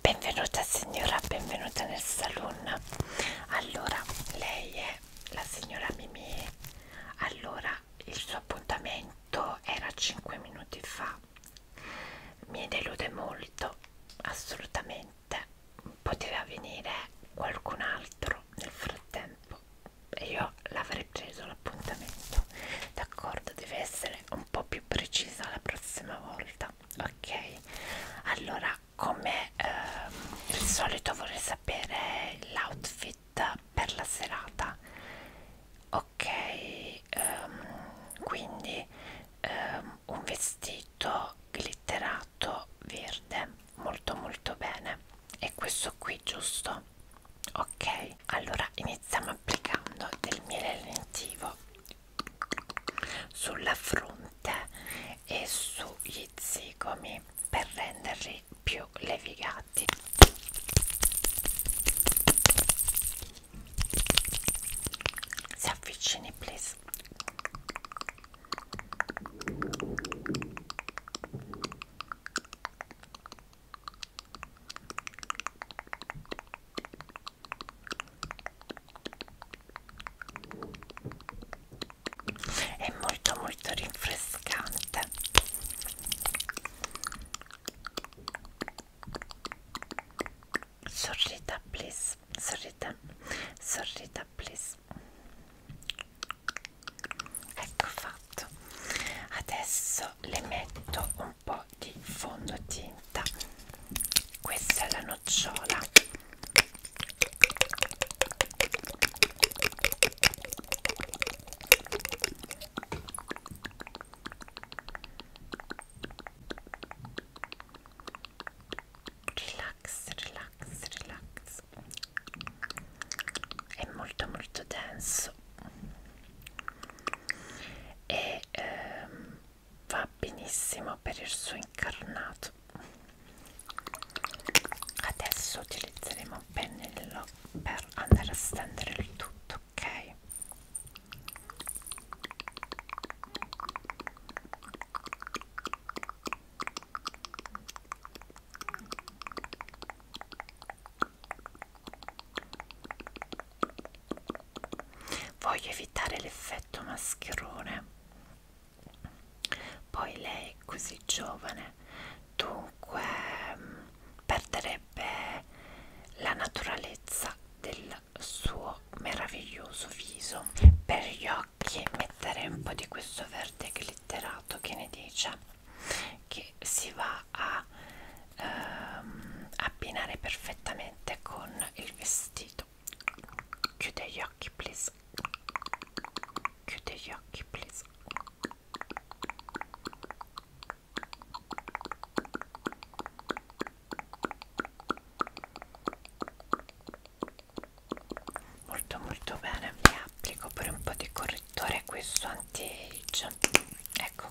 Benvenuta signora, benvenuta nel saloon. Allora, lei è la signora Mimì. Allora, il suo appuntamento era 5 minuti fa. Mi delude molto, assolutamente. Poteva venire qualcun altro nel frattempo e io l'avrei preso l'appuntamento. D'accordo, deve essere un po' più precisa la prossima volta ok allora come eh, il solito vorrei sapere l'outfit per la serata ok um, quindi um, un vestito glitterato verde molto molto bene e questo qui giusto ok allora iniziamo applicando del miele lentivo sulla fronte e sugli zigomi per renderli più levigati si avvicini please è molto molto rinfrescante sorrida please sorrida sorrida please ecco fatto adesso le metto un po' di fondotinta questa è la nocciola relax relax relax è molto molto denso rosso e ehm, va benissimo per il suo incarnato adesso utilizzeremo un pennello per andare a stendere il tutto ok Voglio evitare l'effetto mascherone. Poi lei è così giovane, dunque mm, perderebbe la naturalezza del suo meraviglioso viso. Per gli occhi metterei un po' di questo verde glitterato, che ne dice? che si va a ehm, abbinare perfettamente con il vestito chiude gli occhi please chiude gli occhi please molto molto bene vi applico pure un po' di correttore questo anti-age ecco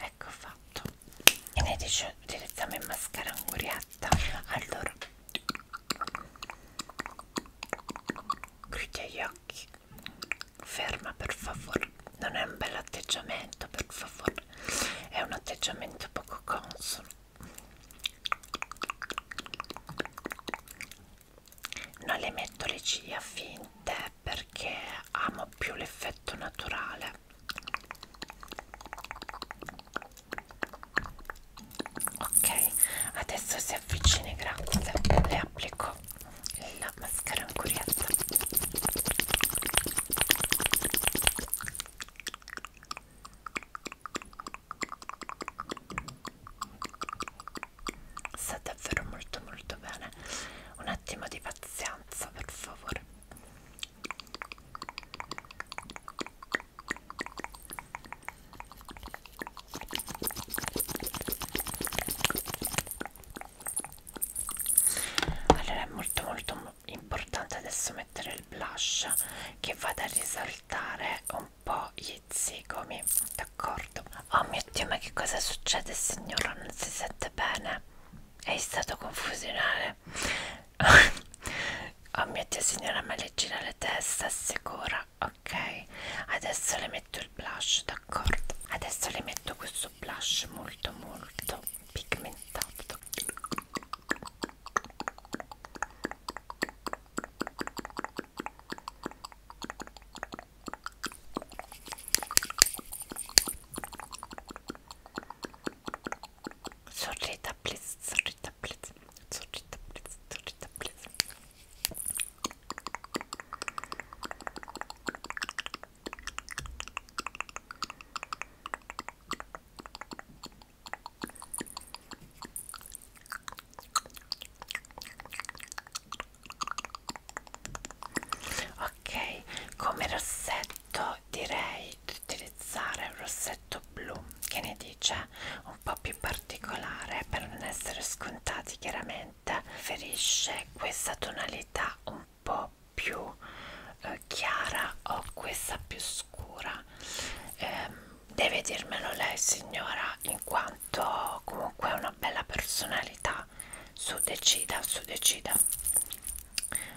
ecco fatto e ne dice direttamente mascara anguriata allora chiudi gli occhi ferma per favore non è un bel atteggiamento per favore è un atteggiamento poco consono non le metto le ciglia finte perché amo più l'effetto naturale ok adesso si avvicini grazie le applico la mascara ancoriata sta davvero molto molto bene un attimo di pazienza per favore allora è molto molto importante adesso mettere il blush che vada a risaltare un po' gli zigomi d'accordo oh mio dio ma che cosa succede signora non si sente bene è stato confusionale oh mio dio signora ma le gira la testa sicura ok adesso le metto messo il blush d'accordo adesso le metto questo blush molto molto pigmentato Sorrita please, sorrita please, sorrita please, sorrita please ok come rossetto direi di utilizzare un rossetto blu che ne dice un po' più particolare per non essere scontati chiaramente 30 preferisce questa tonalità un po' più eh, chiara o questa più scura eh, deve dirmelo lei signora in quanto comunque è una bella personalità su decida su decida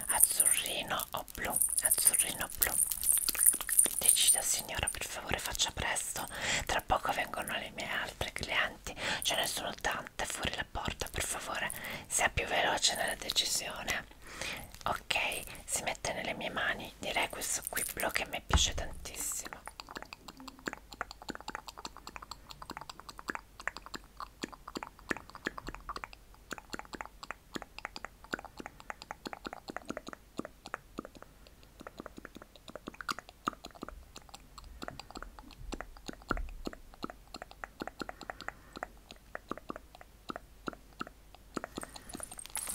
azzurrino o blu azzurrino blu decida signora per favore faccia presto tra poco vengono le mie altre clienti, ce ne sono tante fuori la porta, per favore sia più veloce nella decisione. Ok, si mette nelle mie mani, direi questo qui blu che mi piace tantissimo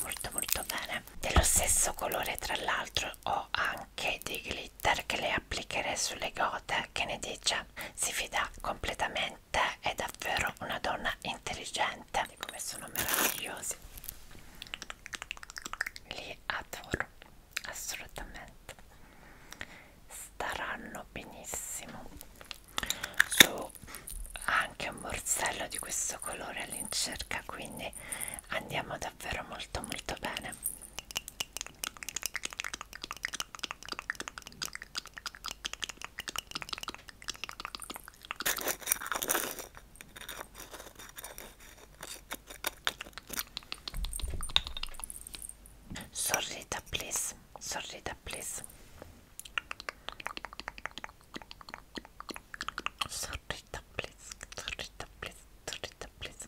molto molto bene dello stesso colore tra l'altro ho anche dei glitter che le applicherei sulle gote che ne dice si fida completamente è davvero una donna intelligente come sono meravigliosi li adoro assolutamente staranno benissimo su anche un borsello di questo colore all'incirca quindi andiamo davvero molto molto bene Sorry, Sorrita, please. Sorrita, please. Sorrita, please. Sorrita, please. Sorrita, please.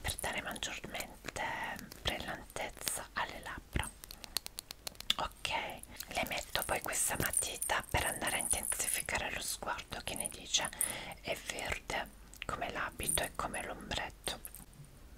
per dare maggiormente brillantezza alle labbra ok le metto poi questa matita per andare a intensificare lo sguardo che ne dice è verde come l'abito e come l'ombretto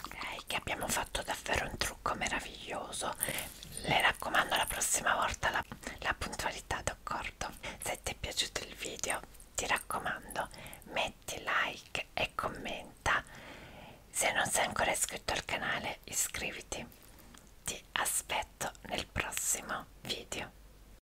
ok che abbiamo fatto davvero un trucco meraviglioso le raccomando la prossima volta la, la puntualità d'accordo se ti è piaciuto il video ti raccomando metti like e commenta se non sei ancora iscritto al canale iscriviti ti aspetto nel prossimo video